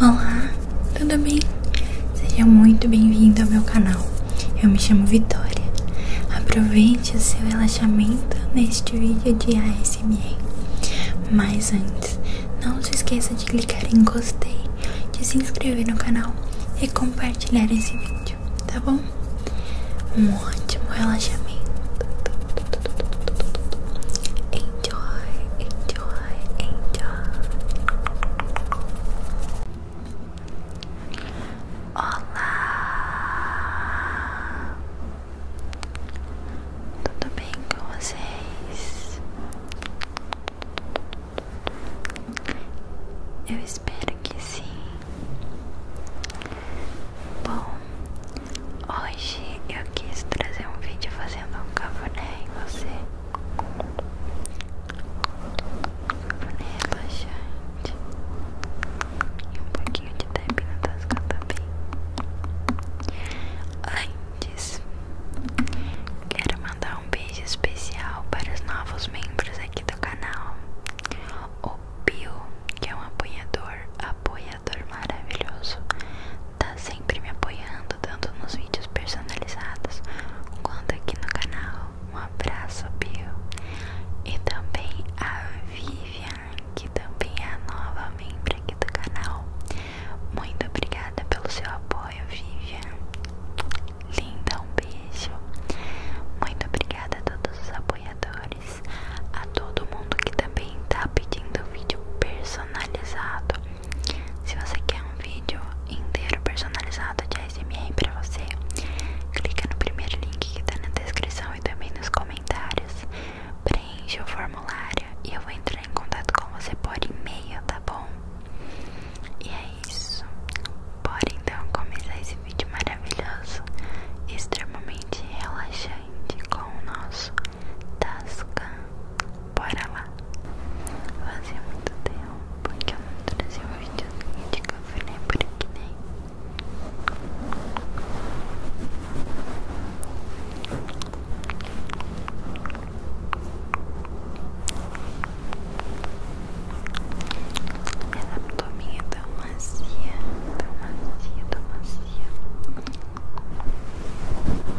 Olá, tudo bem? Seja muito bem-vindo ao meu canal. Eu me chamo Vitória. Aproveite o seu relaxamento neste vídeo de ASMR. Mas antes, não se esqueça de clicar em gostei, de se inscrever no canal e compartilhar esse vídeo, tá bom? Um ótimo relaxamento. Enjoy, enjoy enjoy. Olá! Tudo bem com vocês? Eu espero que sim. Bom, Hoje eu quis trazer um vídeo fazendo um cafuné em você. Cafuné relaxante. E um pouquinho de tap na tasca também. Antes, quero mandar um beijo especial para os novos membros aqui do canal. O Pio, que é um apoiador, apoia apoiador maravilhoso. Tá sempre me apoiando, tanto nos vídeos personalizados quanto aqui no canal. Um abraço, Bill. E também a Vivian, que também é a nova membro aqui do canal. Muito obrigada pelo seu apoio, Vivian. Linda, um beijo. Muito obrigada a todos os apoiadores, a todo mundo que também tá pedindo vídeo personalizado. Se você quer um vídeo inteiro personalizado de ASMR para você, clica no primeiro link que está na descrição e também nos comentários. preencha o formulário e eu vou entrar em contato com você por e-mail, tá bom? E é isso. Bora então começar esse vídeo maravilhoso, extremamente relaxante com o nosso Tascan Bora lá! Fazia muito tempo porque eu não trouxe um vídeo de café nem né? por aqui nem. Né? Essa abdominha tão macia, tão macia, tão macia.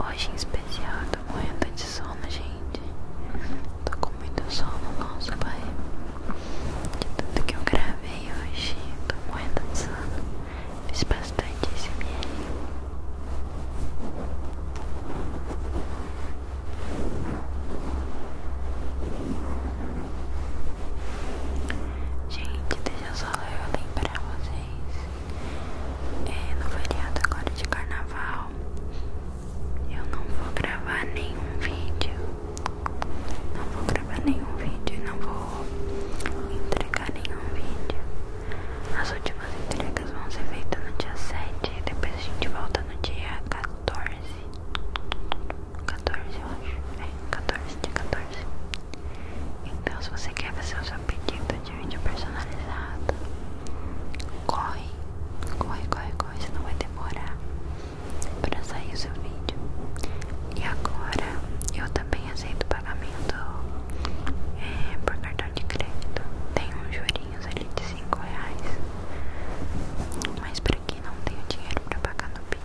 Hoje em especial tô morrendo de sono, gente. Tô com muito sol no nosso pai. De tudo que eu gravei hoje, tô morrendo de sono. Fiz bastante SMR. Ai, Gente, deixa só eu lembrar vocês. É, no feriado agora de carnaval, eu não vou gravar nenhum vídeo. Não vou gravar nenhum vídeo, e não vou entregar nenhum vídeo. As últimas entregas vão ser feitas no dia 7 e depois a gente volta no dia 14. 14 eu acho. É, 14 de 14. Então se você quer fazer o seu pedido de vídeo personalizado Corre, corre, corre, corre, não vai demorar para sair o seu vídeo E agora eu também aceito pagamento é, por cartão de crédito Tem uns jurinhos ali de 5 reais Mas pra quem não tem dinheiro pra pagar no Pix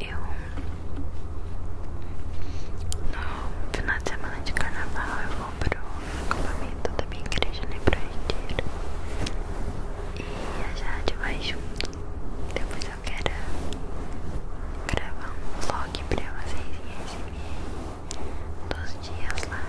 Eu no final de semana de carnaval eu vou pro acampamento da minha igreja na né, Ibraiteira e a gente vai junto. Depois eu quero gravar um vlog pra vocês em SMR dos dias lá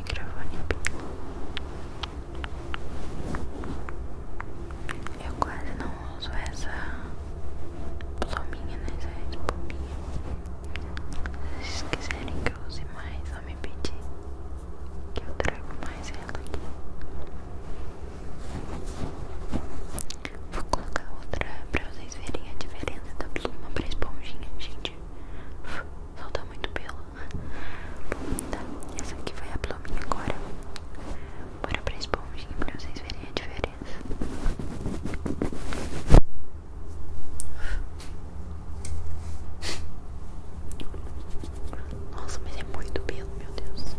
microfone. Eu quase não uso essa pluminha, né? Essa pluminha. Se vocês quiserem que eu use mais, só me pedir que eu trago mais ela aqui. Vou colocar outra pra vocês verem a diferença da pluma pra esponjinha, gente. Solta muito pelo. Bom, tá. Essa aqui vai a pluminha agora. Bora pra esponjinha pra vocês verem a diferença. Nossa, mas é muito pelo, meu Deus.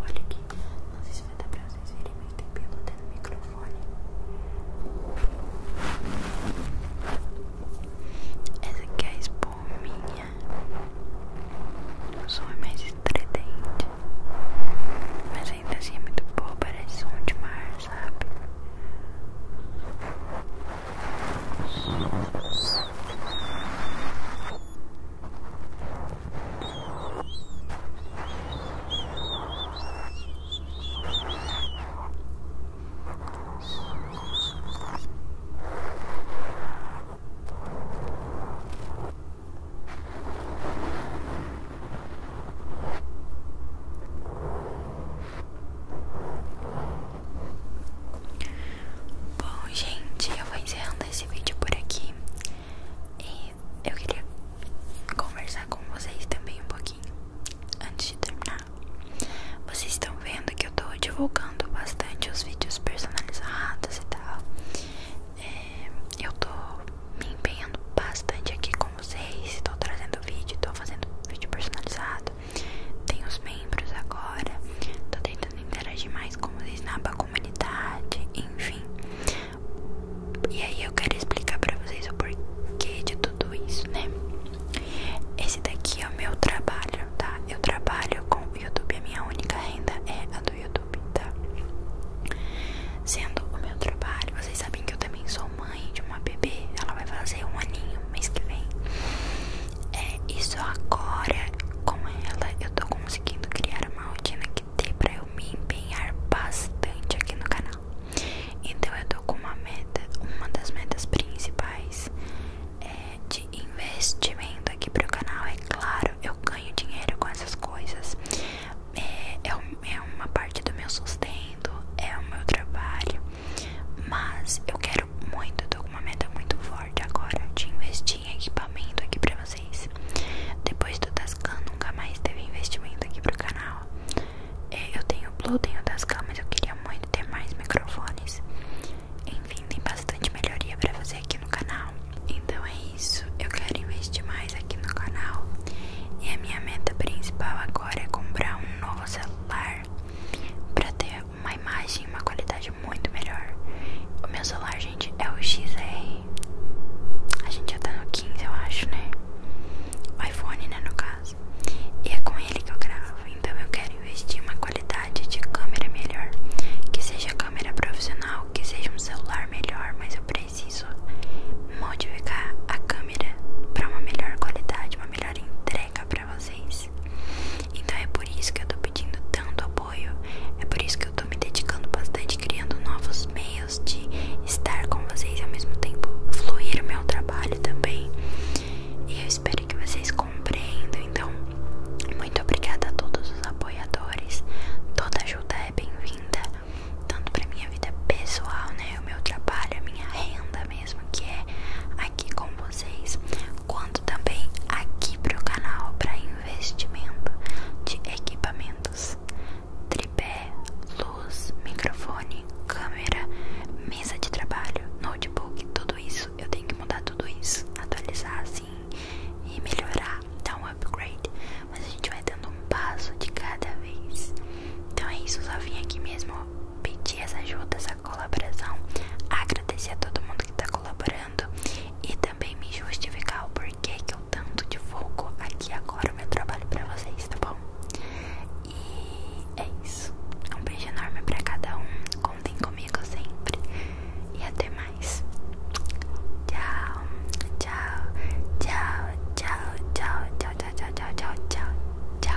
Olha aqui. Não sei se vai dar pra vocês verem, mas tem pelo até no microfone microfone. Essa aqui é a espuminha. O som é mais estridente. Mas ainda assim é muito boa, parece som de mar, sabe? Bom, gente, eu vou encerrando esse vídeo por aqui. E eu queria conversar com vocês também um pouquinho antes de terminar, vocês estão vendo que eu tô divulgando bastante os vídeos personalizados e tal. É, eu tô me empenhando bastante aqui com vocês, tô trazendo vídeo, tô fazendo vídeo personalizado. Tem os membros agora, tô tentando interagir mais com vocês na comunidade, enfim. E aí eu quero explicar pra vocês o porquê de tudo isso, né? Esse daqui é o meu trabalho, tá? Eu trabalho com o YouTube, a minha única renda é a do YouTube, tá? Sendo o meu trabalho, vocês sabem que eu também sou mãe de uma bebê, ela vai fazer um aninho no mês que vem. É, isso agora com ela eu tô conseguindo criar uma rotina que dê pra eu me empenhar bastante aqui no canal, então eu tô com uma meta, uma das metas principais é de investimento aqui pro canal. É claro, eu ganho dinheiro com essas coisas. É, é, é, uma parte do meu sustento, é o meu trabalho. Mas eu quero muito, eu tô com uma meta muito forte agora de investir em equipamento aqui pra vocês. Depois do Tascan nunca mais teve investimento aqui pro canal. É, eu tenho o Blue, tenho o Tascam, eu queria muito ter mais microfones. Enfim, tem bastante melhoria pra fazer aqui no canal. Então é isso, eu quero investir mais aqui no canal. E a minha meta principal agora é comprar um novo celular pra ter uma imagem, uma qualidade muito melhor. O meu celular, gente, é o XR. A gente já tá no 15, eu acho, né? O iPhone, né, no caso. E é com ele que eu gravo, então eu quero investir em uma qualidade de câmera melhor. Que seja câmera profissional, que seja um celular melhor, mas eu preciso modificar a câmera para uma melhor qualidade, uma melhor entrega para vocês. Então é por isso que eu tô pedindo tanto apoio, é por isso que eu tô me dedicando bastante criando novos meios de estar com vocês e ao mesmo tempo fluir o meu trabalho também. E eu espero que vocês compreendam. Então, muito obrigada a todos os apoiadores. Toda ajuda é bem-vinda, tanto para minha vida pessoal, né, o meu trabalho, a minha renda mesmo, que é aqui com vocês, quanto também aqui o canal para investimento de equipamentos tripé, luz, microfone, câmera, mesa de trabalho, notebook, tudo isso. Eu tenho que mudar tudo isso, atualizar assim e melhorar, dar um upgrade. Mas a gente vai dando um passo de cada vez. Então é isso, só vim aqui mesmo pedir essa ajudas, essa colaboração, agradecer a todo mundo que está colaborando e também me justificar o porquê que eu tanto divulgo aqui agora o meu trabalho para vocês, tá bom? E é isso. Um beijo enorme pra cada um. Contem comigo sempre. E até mais. Tchau, tchau, tchau, tchau, tchau, tchau, tchau, tchau, tchau, tchau, tchau.